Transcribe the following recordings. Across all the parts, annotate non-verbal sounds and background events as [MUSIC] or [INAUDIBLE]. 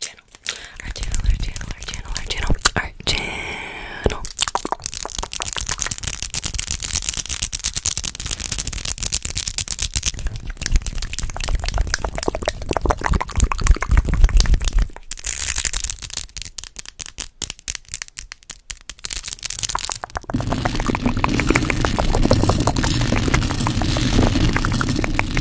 channel, our channel, our channel, our channel, our channel, our channel.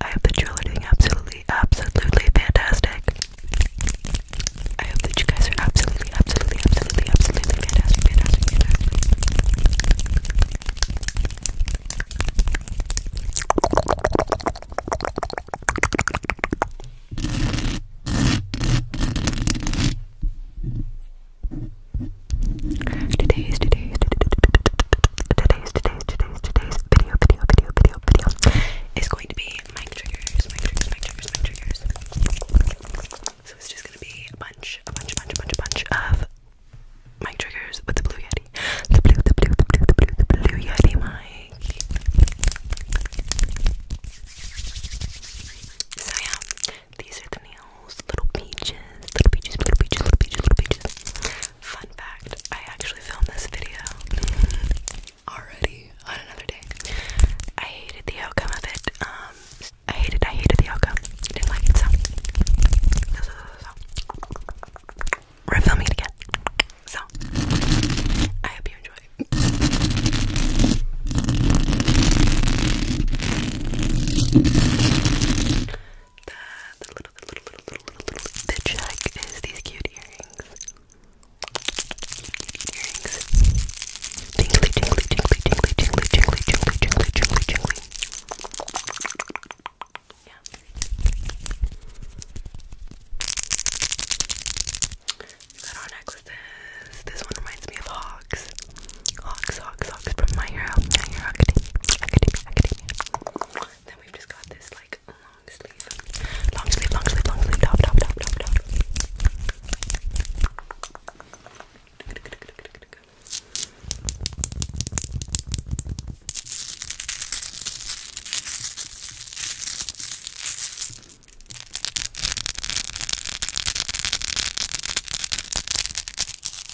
I hope that you're all doing absolutely, absolutely fantastic. I hope that you guys are absolutely, absolutely, absolutely, absolutely fantastic, fantastic. Today's, today's, today's, today's, today's, today's, today's video, video, video, video, video is going to be mic triggers, mic triggers, mic triggers, mic triggers. So it's just gonna be a bunch, a bunch, a bunch, a bunch, a bunch of mic triggers with the blue yeti. The blue, the blue, the blue, the blue, the blue yeti mic. So yeah, these are the nails animals, little peaches, little peaches, little peaches, little peaches, little peaches. Fun fact, I actually filmed this video [LAUGHS] already on another day. I hated the outcome of it. Um I hated I hated the outcome. Didn't like it so. so, so, so, so. We're filming it again. So I hope you enjoy. The, the little, little, little, little, little, little, the check is these cute earrings. earrings. Jingly, jingly, jingly, jingly, jingly, jingly, jingly, jingly, jingly, jingly. Yeah. Got our necklaces. This one reminds me of Hawks. Hawks, Hawks, Hawks from My Hero, My Hero Academia, Academia, Academia. Then we've just got this like long sleeve, long sleeve, long sleeve, long sleeve top, top, top, top, top.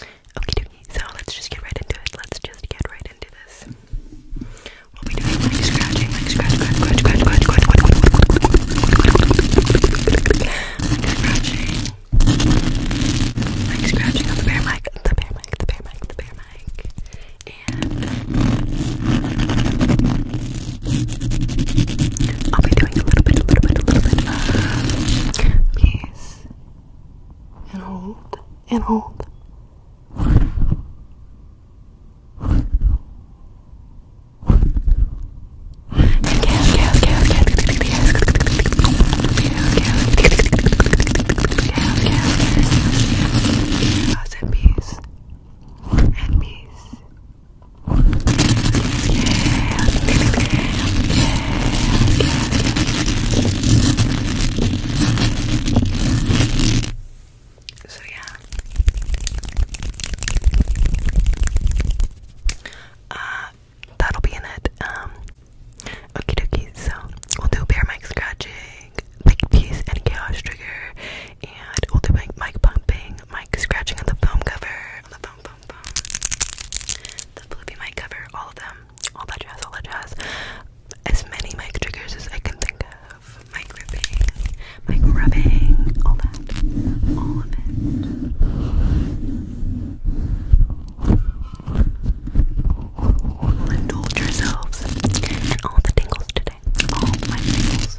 Okay, dokie, so let's just get right into it. Let's just get right into this. We'll be doing like scratching, like scratch, scratch, scratch, scratch, scratch, scratch, like scratching, like scratching on the bear mic, the bear mic, the bear mic, the bear mic, and I'll be doing a little bit, a little bit, a little bit of peace and hold and hold. And peace. And peace. Yeah. Yeah. So yeah. Uh that'll be in it. Um okie dokie, so we'll do bear mic scratching, mic piece and chaos trigger, and we'll do mic mic pumping, mic scratching on the foam cover, on the foam foam foam. The fluffy mic cover, all of them all that jazz, all that jazz. As many mic triggers as I can think of. Mic ripping, mic rubbing, all that. All of it. Indulge yourselves in all the tingles today. All my tingles.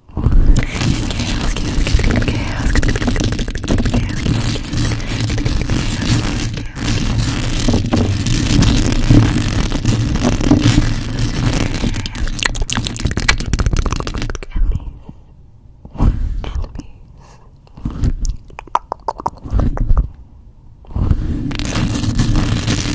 Chaos, chaos, chaos, chaos, chaos, chaos, chaos, chaos, chaos,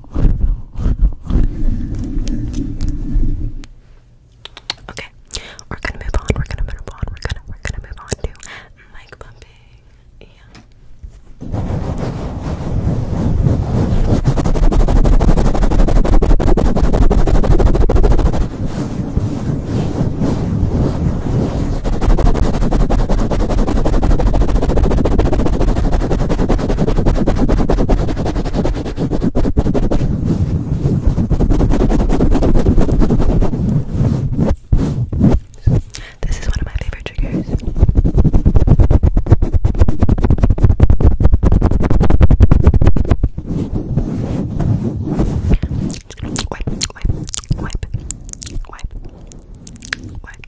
Okay, we're gonna move on. We're gonna move on. We're gonna we're gonna move on to mic bumping. Yeah. This is one of my favorite triggers. Wipe, wipe, wipe, wipe, wipe,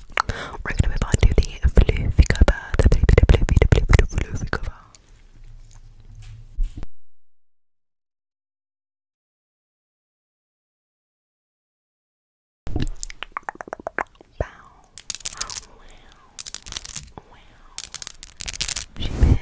We're gonna move on to the fluffy cover. The fluffy, fluffy, fluffy, fluffy, fluffy cover. Wow. Wow. She big.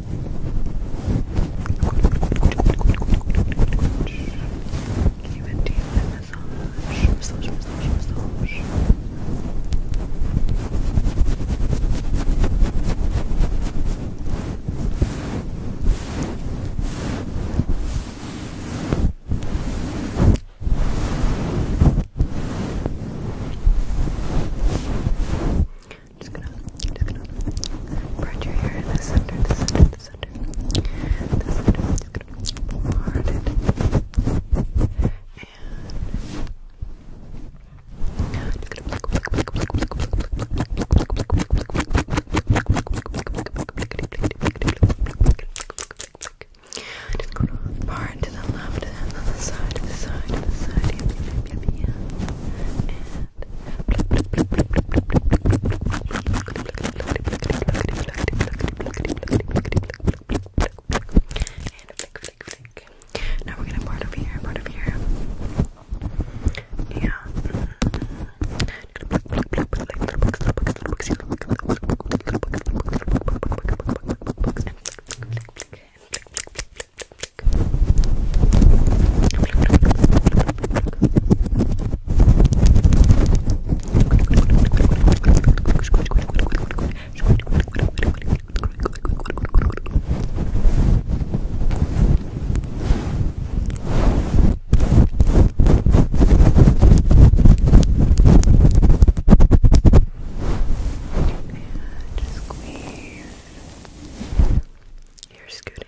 Give it to you in massage. Massage, massage, massage. Just gonna, just gonna part your hair in the center, the center, the center, the center. Just gonna part it the left and the side, the side, the side, and now we're gonna part over here, part over here. Yeah. And just squeeze. You're scooting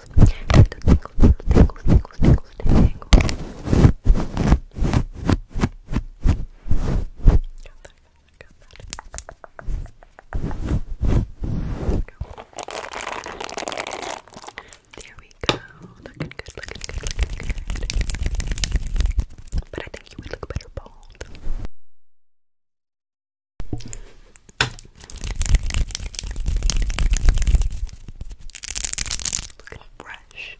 There we go. Looking good, looking good, looking good. But I think you would look better bald. Look at the brush.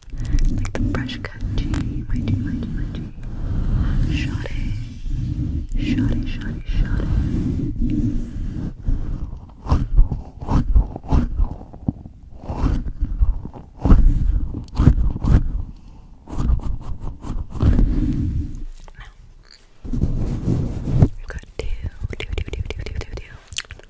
Like the brush cut G. My G, my G, my G. Shot it. Shot it, shot it, shot it. Now, we've got two, two, two, two, two, two, two, two.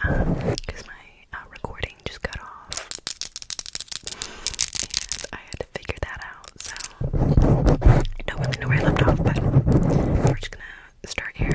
because my uh, recording just got off, and I had to figure that out. So I don't really know where I left off, but we're just gonna start here.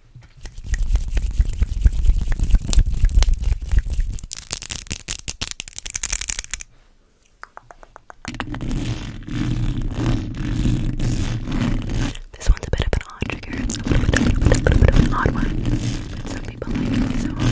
This one's a bit of an odd trigger. It's a little bit of, a little bit of an odd one. But some people like it, so I'll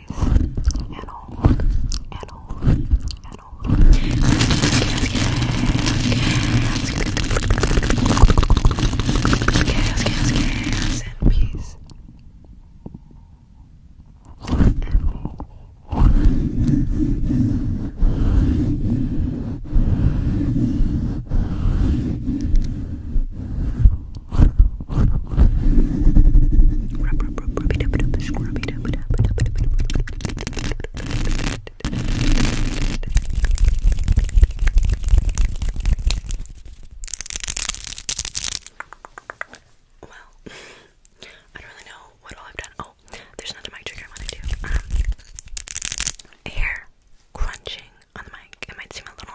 face at all, at all, at all. Gas, gas, gas, and peace. And well, [LAUGHS] I don't really know what all I've done. Oh, there's another mic trigger I want to do. Um, crunching on the mic. It might seem a little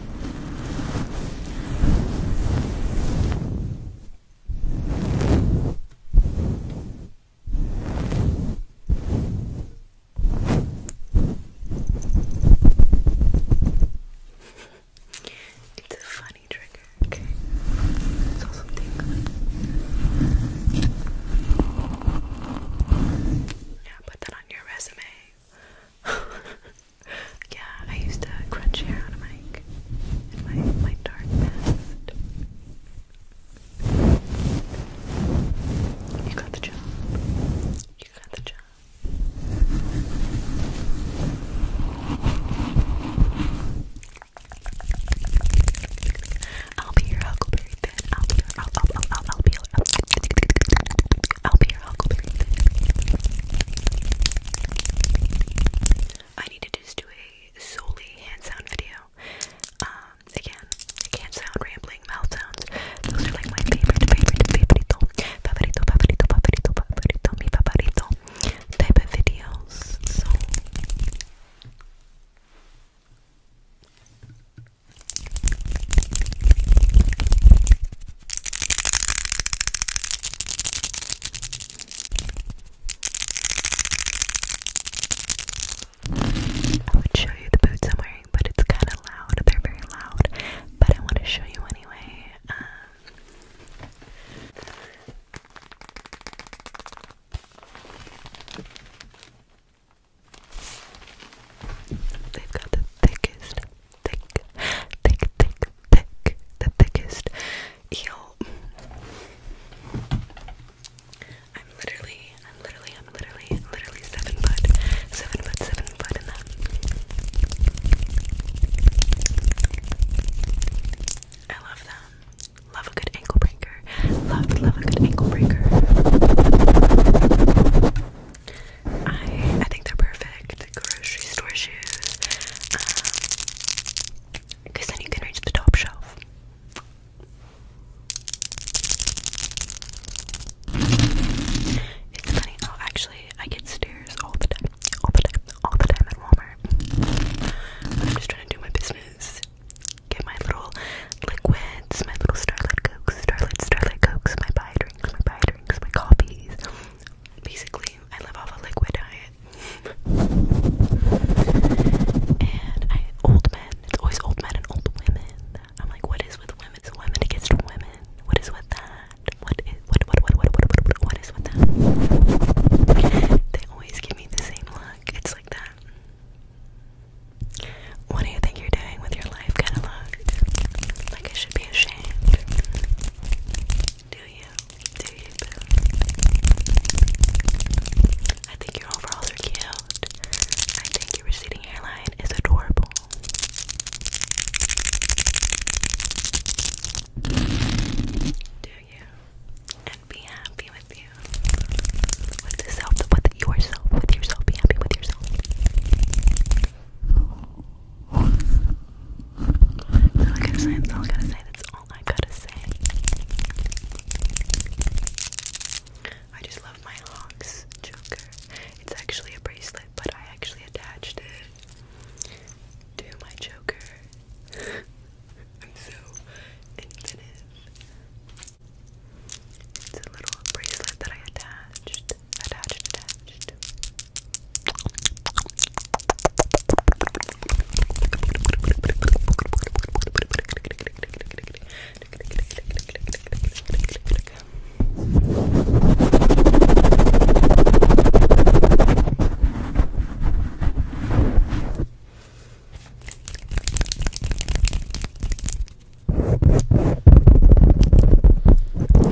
It's a funny trigger, okay? It's also tingly. Yeah, put that on your resume. [LAUGHS] yeah, I used to crunch hair on a mic in my my dark past. You got the job. You got the job. I'll be your Huckleberry Finn. I'll be your I'll I'll I'll I'll be your I'll be I need to just do a solely hand sound video. Um, again, hand sound, rambling, mouth sounds. Those are like my favorite, favorite, favorito, favorito, favorito, favorito, favorito, mi favorito type of videos. So. I would show you the boots I'm wearing, but it's kind of loud. They're very loud, but I want to show you anyway. Um, they've got the thickest thick, thick, thick, thick, the thickest eel. I'm literally, I'm literally, I'm literally, literally seven foot, seven foot, seven foot in them. I love them. Love a good ankle breaker. Love, love a good ankle breaker. I I think they're perfect grocery store shoes because um, then you can reach the top shelf. It's funny. Oh, actually, I get stares all the time, all the time, all the time at Walmart. I'm just trying to do my business. Get my little liquids, my little Starlight Cokes, Starlight, Starlight Cokes, my buy drinks, my buy drinks, my coffees basically I live off a liquid diet. and old men, it's always old men and old women. I'm like, what is with women? women against women. What is with that? What is what what what what what, what is with that? They always give me the same look. It's like that. What do you think you're doing with your life? life kind of look? Like I should be ashamed. Do you? Do you, boo? I think your overalls are cute. I think your receding hairline is adorable. Do you? And be happy with you. With yourself, with yourself, with yourself. Be happy with yourself. I just love my Honks Joker. It's actually a bracelet, but I actually attached it to my Joker. [LAUGHS] I'm so inventive. It's a little bracelet that I attached attached, attached.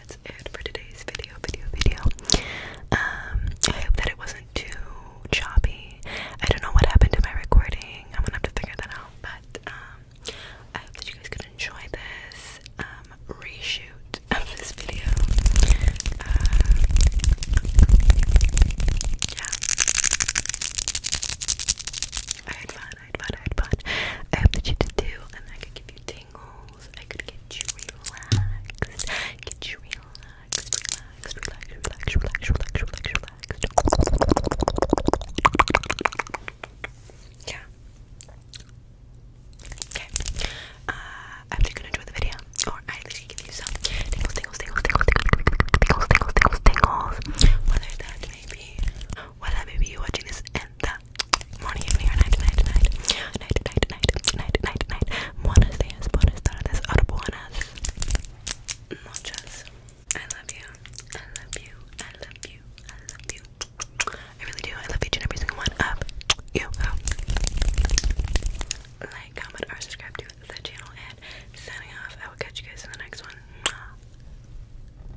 that's it for today's video, video, video. Um, I hope that it wasn't too choppy. I don't know what happened to my recording. I'm gonna have to figure that out. But um, I hope that you guys could enjoy this um, reshoot of this video. Uh, yeah, I had fun. I had fun, I had fun. I hope that you too, and I could give you tingles. I could get you relaxed, get you relaxed, relaxed, relaxed, relaxed, relaxed, relaxed, relaxed, relaxed. Yeah. Okay. Uh, I hope you can enjoy the video, or I at give you some tingles, tingles, tingles, tingles, tingles, tingles, tingles, tingles, Whether that may be, whether maybe you watching this and that morning, evening, or night, night, night, night, night, night, night, night, night. Buenos dias, buenas tardes, or buenas noches. I love you. I love you. I love you. I love you. I really do. I love each and every single one of you. Like, comment, or subscribe to the channel. And signing off. I will catch you guys in the next one.